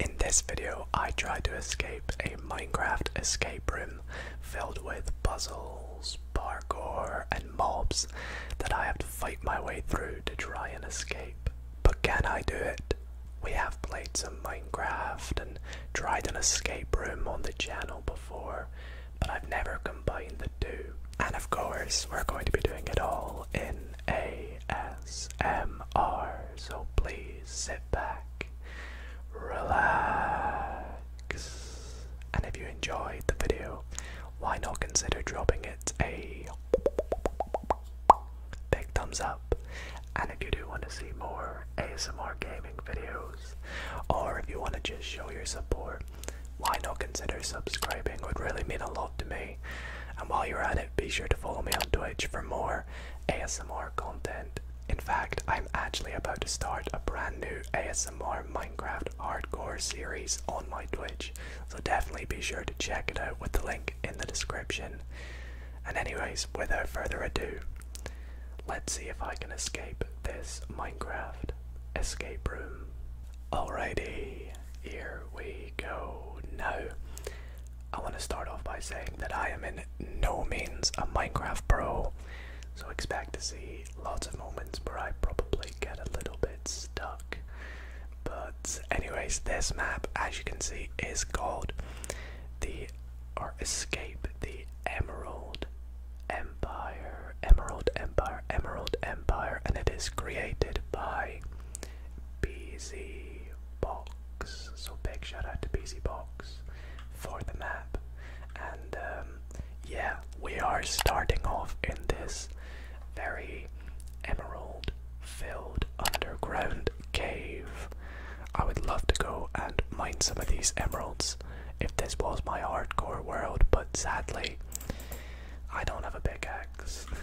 In this video, I try to escape a Minecraft escape room filled with puzzles, parkour, and mobs that I have to fight my way through to try and escape. But can I do it? We have played some Minecraft and tried an escape room on the channel before, but I've never combined the two. And of course, we're going to be doing it all in ASMR. So please sit back, relax, and if you enjoyed the video, why not consider dropping it a big thumbs up? And if you do want to see more ASMR gaming videos, or if you want to just show your support, why not consider subscribing? would really mean a lot to me. And while you're at it, be sure to follow me on Twitch for more ASMR content. In fact, I'm actually about to start a brand new ASMR Minecraft Hardcore series on my Twitch, so definitely be sure to check it out with the link in the description. And, anyways, without further ado, let's see if I can escape this Minecraft escape room. Alrighty, here we go. Now, I want to start off by saying that I am in no means a Minecraft pro, so expect to see lots of moments where I probably get a little bit stuck. But, anyways, this map, as you can see, is called the or Escape the Emerald Empire, Emerald Empire, Emerald Empire, and it is created by BZ Box. So big shout out to BZ Box for the map. And um, yeah, we are starting off in this very emerald filled underground cave. I would love to go and mine some of these emeralds if this was my hardcore world, but sadly, I don't have a pickaxe.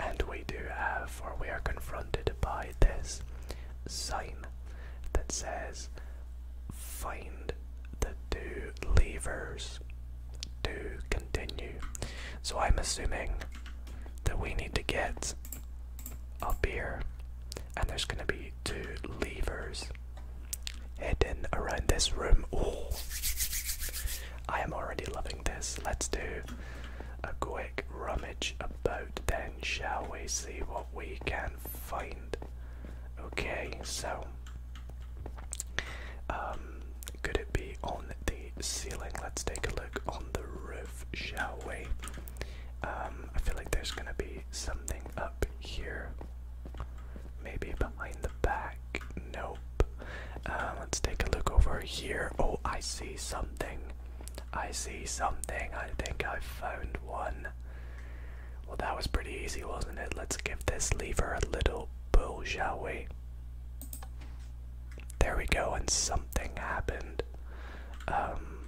and we do have, or we are confronted by this sign that says, Find the two levers to continue. So I'm assuming that we need to get up here, and there's going to be two levers hidden around this room. Oh, I am already loving this. Let's do a quick rummage about then, shall we see what we can find? Okay, so um, could it be on the ceiling? Let's take a look on the roof, shall we? Um, I feel like there's gonna be something up here. Maybe behind the back. No, uh, let's take a look over here. Oh, I see something. I see something. I think I found one. Well, that was pretty easy, wasn't it? Let's give this lever a little pull, shall we? There we go, and something happened. Um,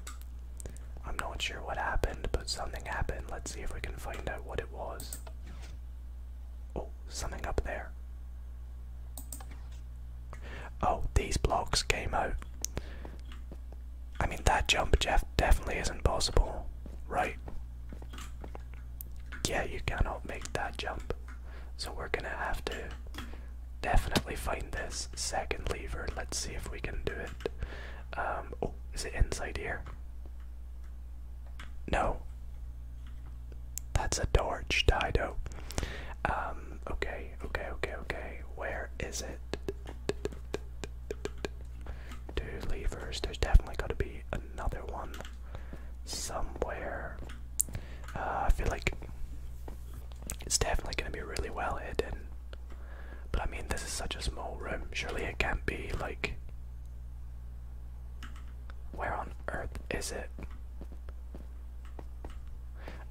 I'm not sure what happened, but something happened. Let's see if we can find out what it was something up there. Oh, these blocks came out. I mean, that jump Jeff definitely isn't possible, right? Yeah, you cannot make that jump. So we're gonna have to definitely find this second lever. Let's see if we can do it. Um, oh, is it inside here? No. That's a torch, Dido. Um, okay, okay, okay, okay. Where is it? Two levers. There's definitely got to be another one somewhere. Uh, I feel like it's definitely going to be really well hidden. But I mean, this is such a small room. Surely it can't be like. Where on earth is it?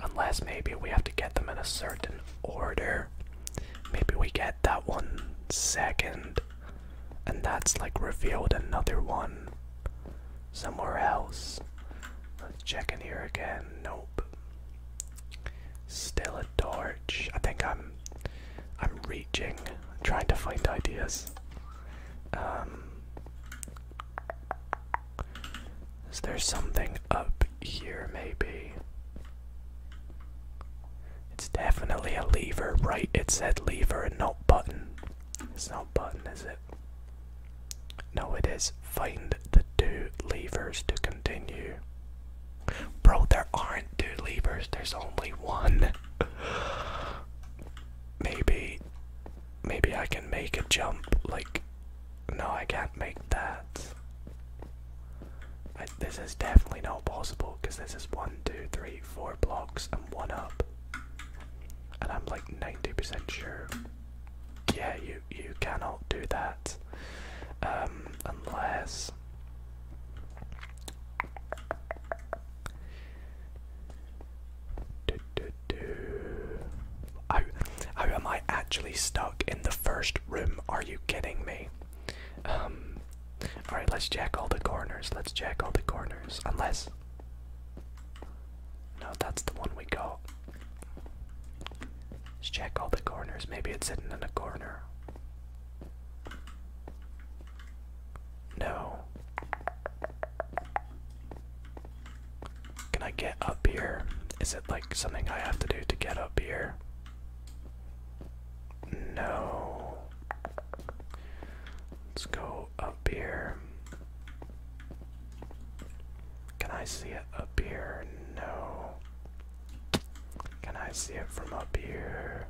Unless maybe we have to get them in a certain order. Maybe we get that one second, and that's like revealed another one somewhere else. Let's check in here again. Nope. Still a torch. I think I'm I'm reaching, trying to find ideas. Um, is there something up here, maybe? It's definitely a lever, right? It said lever and not button. It's not button, is it? No, it is. Find the two levers to continue. Bro, there aren't two levers, there's only one maybe maybe I can make a jump like no I can't make that this is definitely not possible because this is one two three four blocks and one up and I'm like 90% sure yeah you you cannot do that um unless do, do, oh, oh, am I actually stuck in the first room? Are you kidding me? Um, Alright, let's check all the corners. Let's check all the corners. Unless. No, that's the one we go. Let's check all the corners. Maybe it's hidden in a corner. No. Can I get up here? Is it like something I have to do to get up here? No. Let's go up here. Can I see it up here? No. Can I see it from up here?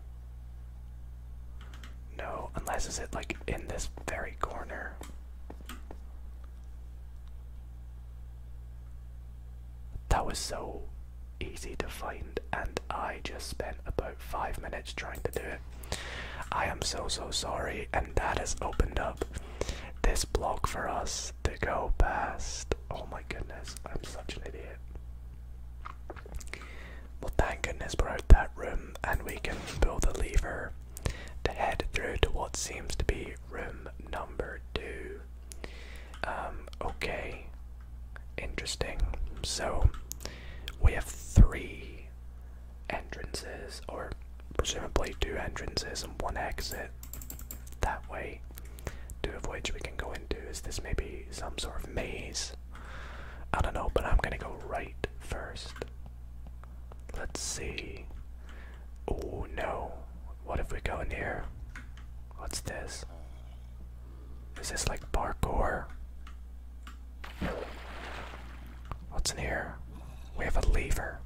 No, unless is it like in this very corner. That was so easy to find and I just spent about five minutes trying to do it. I am so so sorry and that has opened up this block for us to go past. Oh my goodness, I'm such an idiot. Well, thank goodness we're out that room and we can pull the lever to head through to what seems to be room number two. Um, okay. Interesting. So, we have three entrances, or presumably two entrances and one exit that way, two of which we can go into. Is this maybe some sort of maze? I don't know, but I'm gonna go right first. Let's see. Oh no. What if we go in here? What's this? Is this like parkour? What's in here? We have a lever.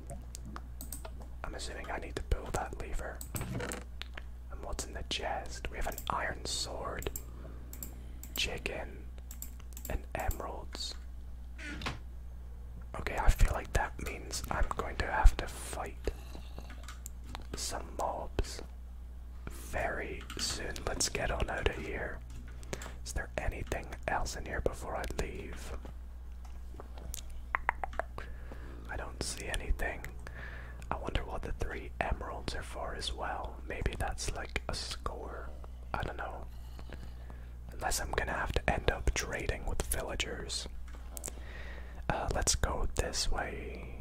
I'm assuming I need to build that lever. And what's in the chest? We have an iron sword chicken, and emeralds. Okay, I feel like that means I'm going to have to fight some mobs very soon. Let's get on out of here. Is there anything else in here before I leave? I don't see anything. I wonder what the three emeralds are for as well. Maybe that's like a score. I don't know. Unless I'm gonna have to end up trading with villagers. Uh, let's go this way.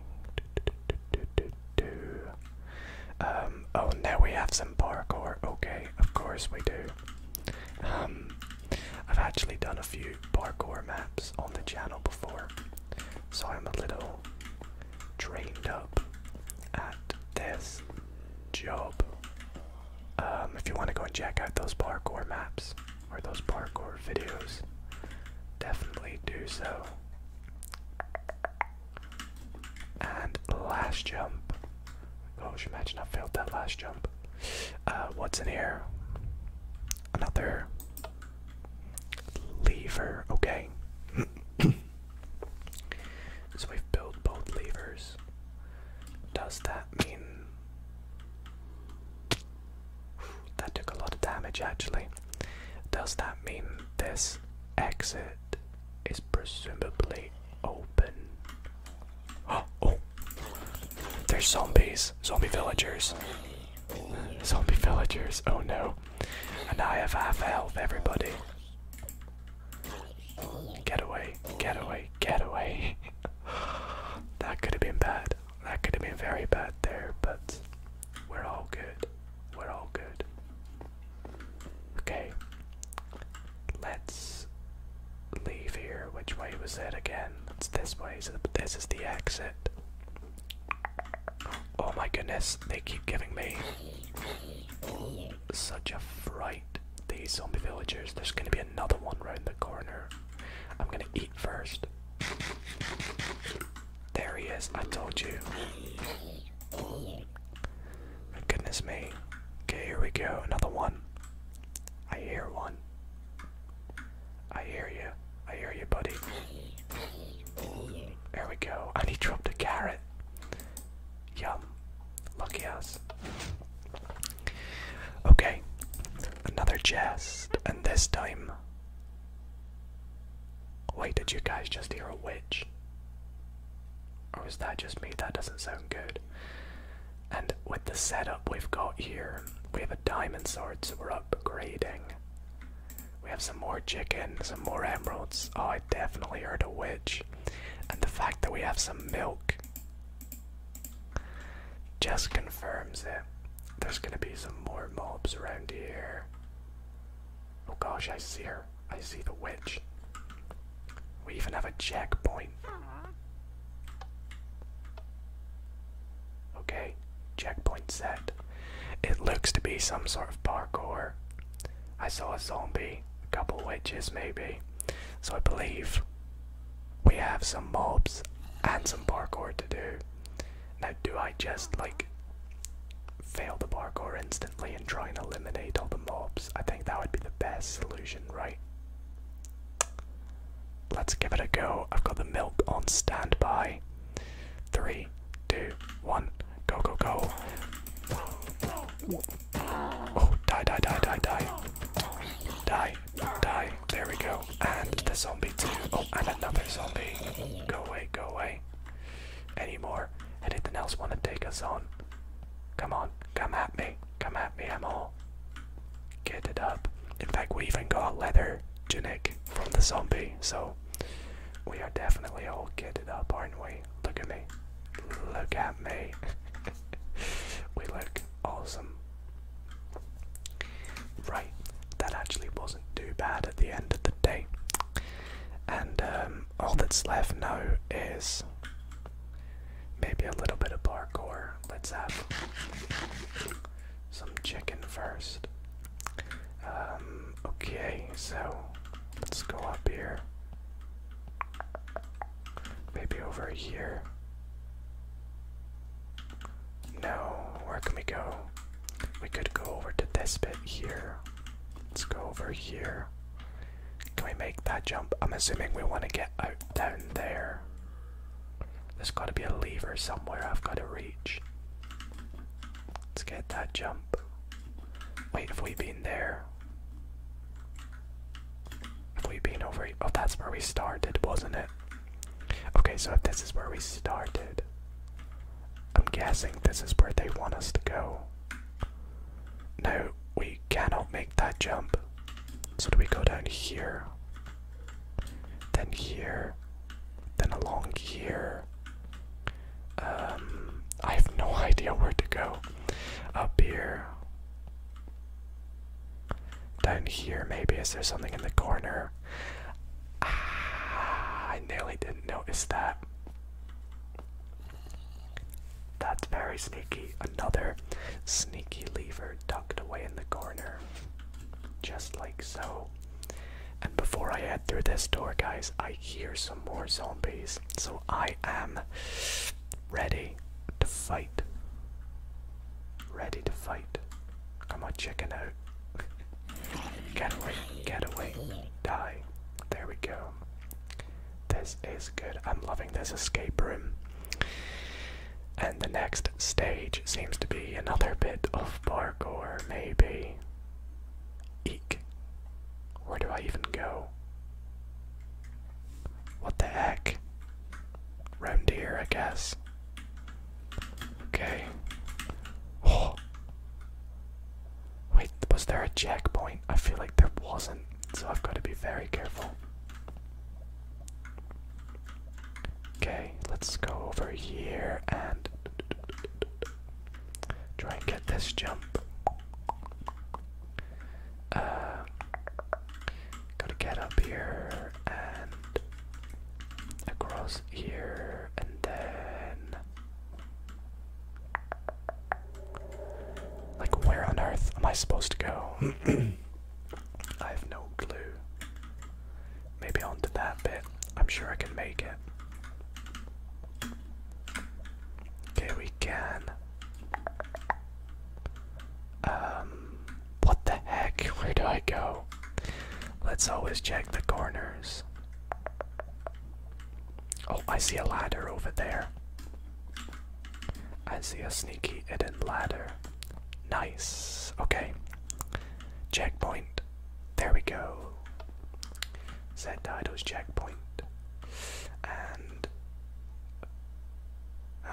Um, oh, now we have some parkour. Okay, of course we do. Um, I've actually done a few parkour maps on the channel before, so I'm a little trained up at this job. Um, if you want to go and check out those parkour maps or those parkour videos, definitely do so. And last jump. Oh, Gosh, imagine I failed that last jump. Uh, what's in here? Another lever, okay. So we've built both levers. Does that mean that took a lot of damage actually? Does that mean this exit is presumably open? Oh, oh. There's zombies, zombie villagers. Zombie villagers, oh no. And I have half help everybody. Get away, get away, get away. that could have been bad. That could have been very bad there, but we're all good. We're all good. Okay. Let's leave here. Which way was it again? It's this way. So this is the exit. Oh my goodness, they keep giving me such a fright. These zombie villagers. There's gonna be another one round the corner. I'm gonna eat first. There he is, I told you. Goodness me. Okay, here we go. Another one. I hear one. I hear you. I hear you, buddy. There we go. And he dropped a carrot. Yum. Lucky us. Okay. Another chest. And this time. Wait, did you guys just hear a witch? Or was that just me? That doesn't sound good. And with the setup we've got here, we have a diamond sword, so we're upgrading. We have some more chicken, some more emeralds. Oh, I definitely heard a witch. And the fact that we have some milk just confirms it. There's gonna be some more mobs around here. Oh gosh, I see her. I see the witch. We even have a checkpoint. Okay, checkpoint set. It looks to be some sort of parkour. I saw a zombie, a couple witches maybe. So I believe we have some mobs and some parkour to do. Now, do I just like fail the parkour instantly and try and eliminate all the mobs? I think that would be the best solution, right? Let's give it a go. I've got the milk on standby. Three, two, one, go, go, go. Oh, die, die, die, die, die. Die, die, there we go. And the zombie too. Oh, and another zombie. Go away, go away. Any more? Anything else want to take us on? Come on, come at me. Come at me, I'm all. Get it up. In fact, we even got leather tunic from the zombie, so we are definitely all kitted up, aren't we? Look at me. Look at me. we look awesome. Right, that actually wasn't too bad at the end of the day. And um, all that's left now is maybe a little bit of parkour. Let's have some chicken first. Um, okay, so let's go up here. Maybe over here. No, where can we go? We could go over to this bit here. Let's go over here. Can we make that jump? I'm assuming we want to get out down there. There's got to be a lever somewhere I've got to reach. Let's get that jump. Wait, have we been there? Have we been over? Oh, that's where we started, wasn't it? Okay, so if this is where we started, I'm guessing this is where they want us to go. No, we cannot make that jump. So do we go down here? then here, then along here. Um, I have no idea where to go. Up here. Down here, maybe. Is there something in the corner? Ah, I nearly didn't notice that. That's very sneaky. Another sneaky lever tucked away in the corner. Just like so. And before I head through this door, guys, I hear some more zombies. So I am ready to fight. Ready to fight. Come on, chicken out. get away, get away, die. There we go. This is good. I'm loving this escape room. And the next stage seems to be another bit of bar or maybe. Eek. Where do I even go? What the heck? Round here, I guess. Okay. Oh. Wait, was there a checkpoint? I feel like there wasn't, so I've got to be very careful. Okay, let's go over here and try and get this jump. Uh, gotta get up here and across here and then. Like, where on earth am I supposed to go? I have no clue. Maybe onto that bit. I'm sure I can make it. Okay, we can. Um, what the heck? Where do I go? Let's always check the corners. Oh, I see a ladder over there. I see a sneaky hidden ladder. Nice. Okay. Checkpoint. There we go. Set titles checkpoint. And. Uh,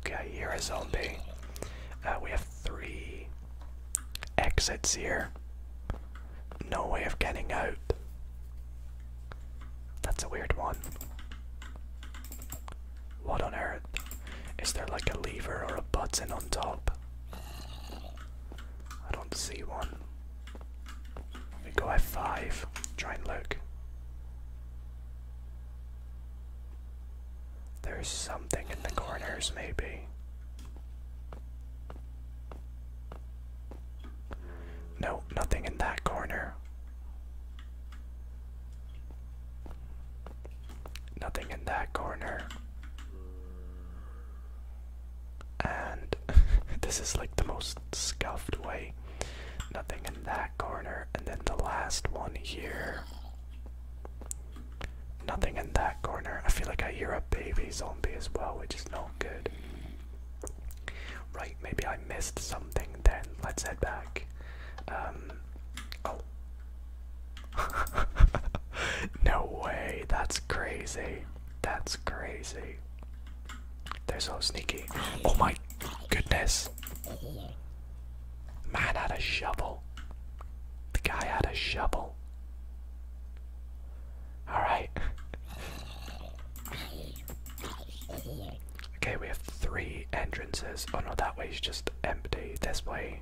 okay, I hear a we have three exits here. No way of getting out. That's a weird one. What on earth? Is there like a lever or a button on top? I don't see one. We go F5. Try and look. There's something in the corners, maybe. No, nothing in that corner. Nothing in that corner. And this is like the most scuffed way. Nothing in that corner. And then the last one here. Nothing in that corner. I feel like I hear a baby zombie as well, which is not good. Right, maybe I missed something then. Let's head back. Um, oh. no way, that's crazy, that's crazy. They're so sneaky. Oh my goodness. Man had a shovel. The guy had a shovel. Alright. Okay, we have three entrances. Oh no, that way is just empty. This way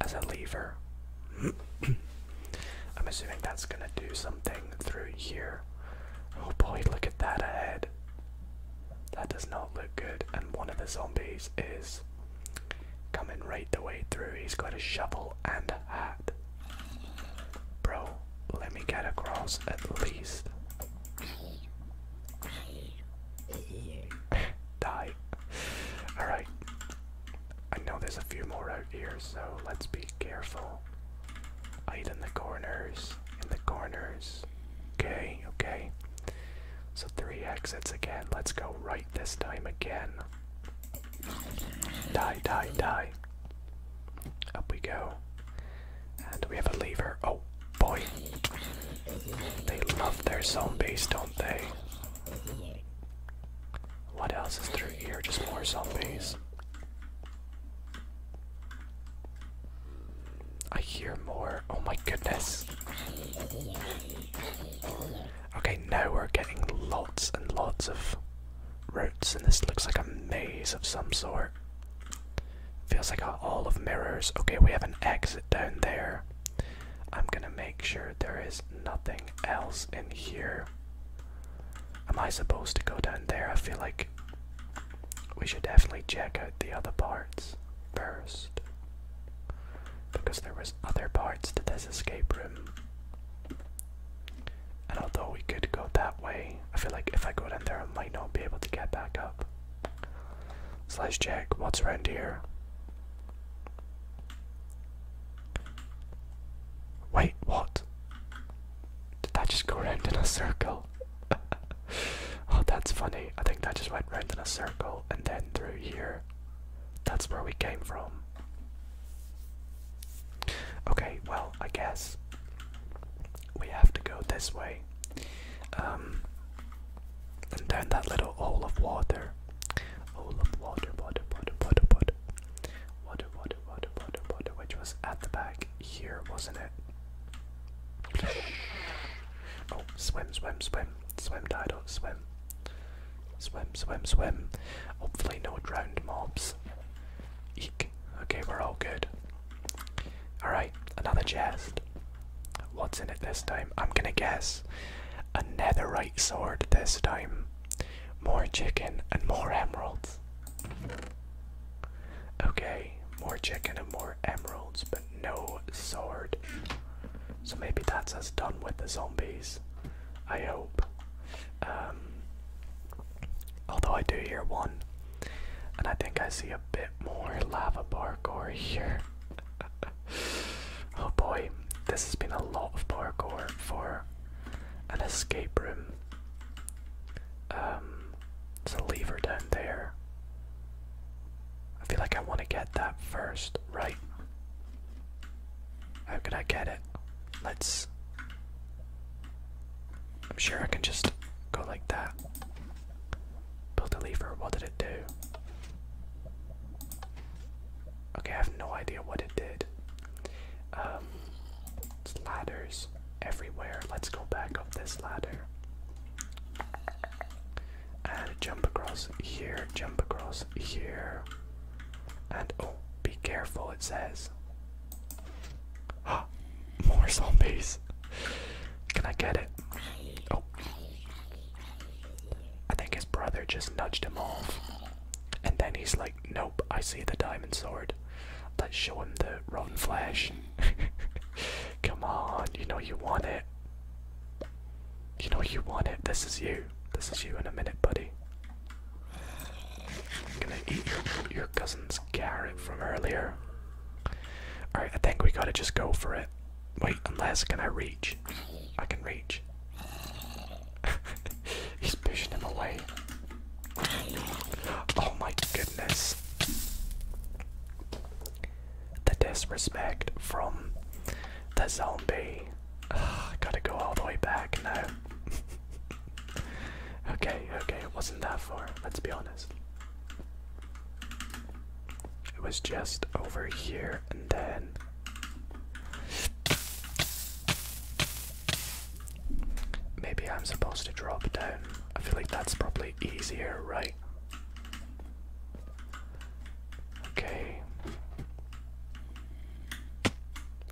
as a lever. I'm assuming that's gonna do something through here. Oh boy, look at that ahead. That does not look good. And one of the zombies is coming right the way through. He's got a shovel and a hat. Bro, let me get across at least. Die. Alright. I know there's a few more out here, so let's be careful. Hide in the corners. In the corners. Okay, okay. So three exits again. Let's go right this time again. Die, die, die. Up we go. And we have a lever? Oh boy. They love their zombies, don't they? What else is through here? Just more zombies. I hear more. Oh my goodness. Okay, now we're getting lots and lots of roots, and this looks like a maze of some sort. Feels like a hall of mirrors. Okay, we have an exit down there. I'm gonna make sure there is nothing else in here. Am I supposed to go down there? I feel like we should definitely check out the other parts first. Because there was other parts to this escape room. And although we could go that way, I feel like if I go down there, I might not be able to get back up. Slash, let check what's around here. Wait, what? Did that just go around in a circle? oh, that's funny. I think that just went around in a circle and then through here. That's where we came from. Okay, well, I guess we have to go this way um, and down that little hole of water. Hole of water, water, water, water, water. Water, water, water, water, water, which was at the back here, wasn't it? Oh, swim, swim, swim. Swim, die, Dido, swim. Swim, swim, swim. Hopefully, no drowned mobs. Eek. Okay, we're all good. Alright, another chest. What's in it this time? I'm gonna guess a netherite sword this time. More chicken and more emeralds. Okay, more chicken and more emeralds, but no sword. So maybe that's us done with the zombies. I hope. Um, Although I do hear one. And I think I see a bit more lava parkour here. oh boy, this has been a lot of parkour for an escape room. Um, there's a lever down there. I feel like I want to get that first, right? How can I get it? let's. I'm sure I can just go like that. Build a lever. What did it do? Okay, I have no idea what it did. Um, it's ladders everywhere. Let's go back up this ladder. And jump across here, jump across here. And oh, be careful, it says. More zombies. Can I get it? Oh. I think his brother just nudged him off. And then he's like, nope, I see the diamond sword. Let's show him the rotten flesh. Come on, you know you want it. You know you want it. This is you. This is you in a minute, buddy. I'm gonna eat your, cousin's carrot from earlier. Alright, I think we gotta just go for it. Wait, unless, can I reach? I can reach. He's pushing him away. Oh my goodness. The disrespect from the zombie. Ugh, gotta go all the way back now. okay, okay, it wasn't that far, let's be honest. It was just over here and then. Maybe I'm supposed to drop down. I feel like that's probably easier, right? Okay.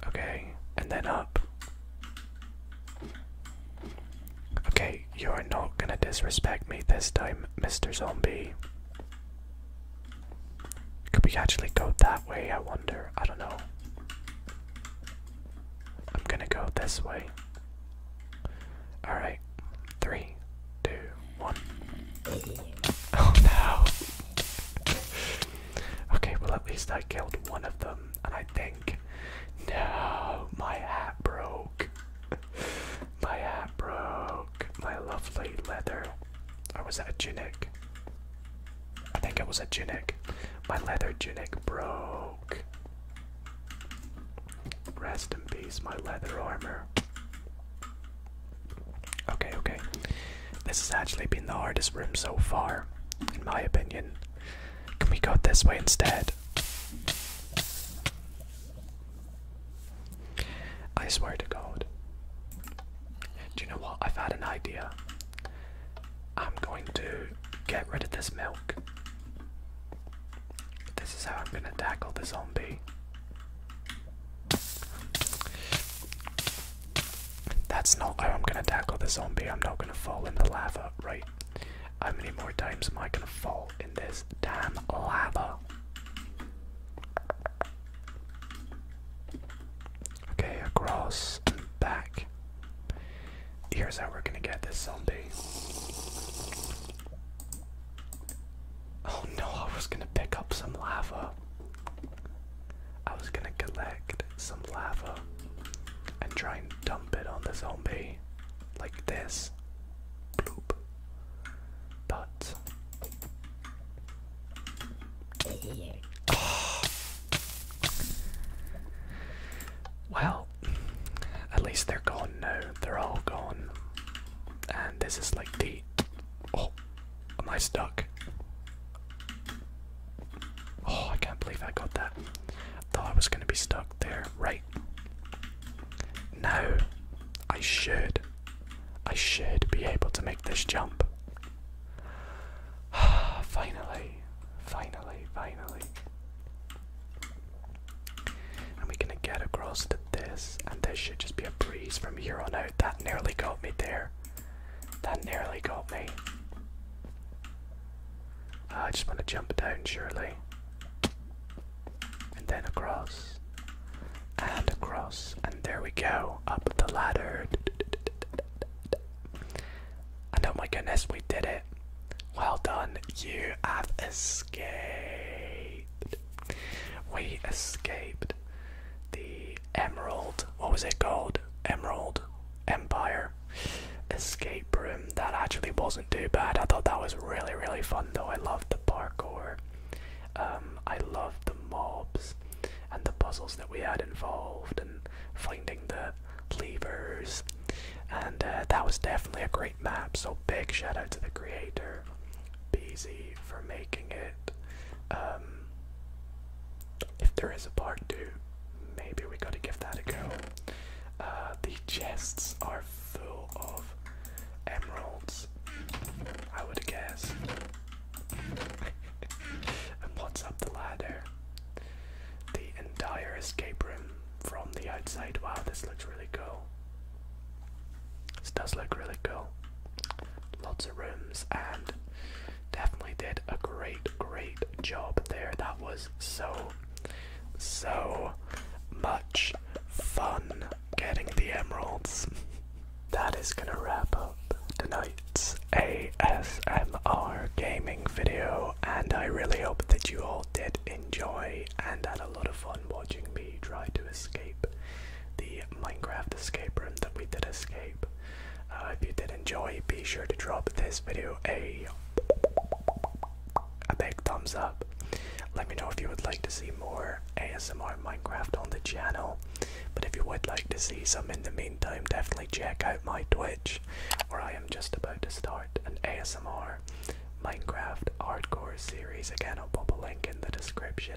Okay, and then up. Okay, you are not gonna disrespect me this time, Mr. Zombie. Could we actually go that way, I wonder? I don't know. I'm gonna go this way. Alright, three, two, one. Oh no! okay, well, at least I killed one of them and I think, no, my hat broke. my hat broke. My lovely leather. Or oh, was a tunic? I think it was a tunic. My leather tunic broke. Rest in peace, my leather armor. Okay, okay. This has actually been the hardest room so far, in my opinion. Can we go this way instead? I swear to God. Do you know what? I've had an idea. I'm going to get rid of this milk. This is how I'm going to tackle the zombie. That's not how I'm gonna tackle the zombie. I'm not gonna fall in the lava, right? How many more times am I gonna fall in this damn lava? Okay, across back. Here's how we're gonna get this zombie. Oh no, I was gonna pick up some lava. I was gonna collect some lava and try and dump it on the zombie like this. Bloop. But Well, at least they're gone now. They're all gone. And this is like the oh, Am I stuck? Oh, I can't believe I got that. Thought I was gonna be stuck there. Right. No, I should. I should be able to make this jump. finally, finally, finally. And we're gonna get across to this, and this should just be a breeze from here on out. That nearly got me there. That nearly got me. Uh, I just want to jump down, surely. And then across. And across. And there we go. Up the ladder. And oh my goodness, we did it. Well done. You have escaped. We escaped the Emerald, what was it called? Emerald Empire escape room. That actually wasn't too bad. I thought that was really, really fun though. I loved the parkour. Um, I loved the mobs and the puzzles that we had involved and finding the levers. And uh, that was definitely a great map. So big shout out to the creator, BZ, for making it. Um, if there is a part two, maybe we gotta give that a go. Uh, the chests are full of emeralds, I would guess. and what's up the ladder? The entire escape room from the outside. Wow, this looks really cool. This does look really cool. Lots of rooms and definitely did a great, great job there. That was so, so much fun getting the emeralds. that is gonna wrap up tonight's ASMR gaming video, and I really hope that you all did enjoy and had a lot of fun watching me try to escape the Minecraft escape room that we did escape. Uh, if you did enjoy, be sure to drop this video a a big thumbs up. Let me know if you would like to see more ASMR Minecraft on the channel. But if you would like to see some in the meantime, definitely check out my Twitch, where I am just about to start an ASMR Minecraft hardcore series. Again, I'll put a link in the description.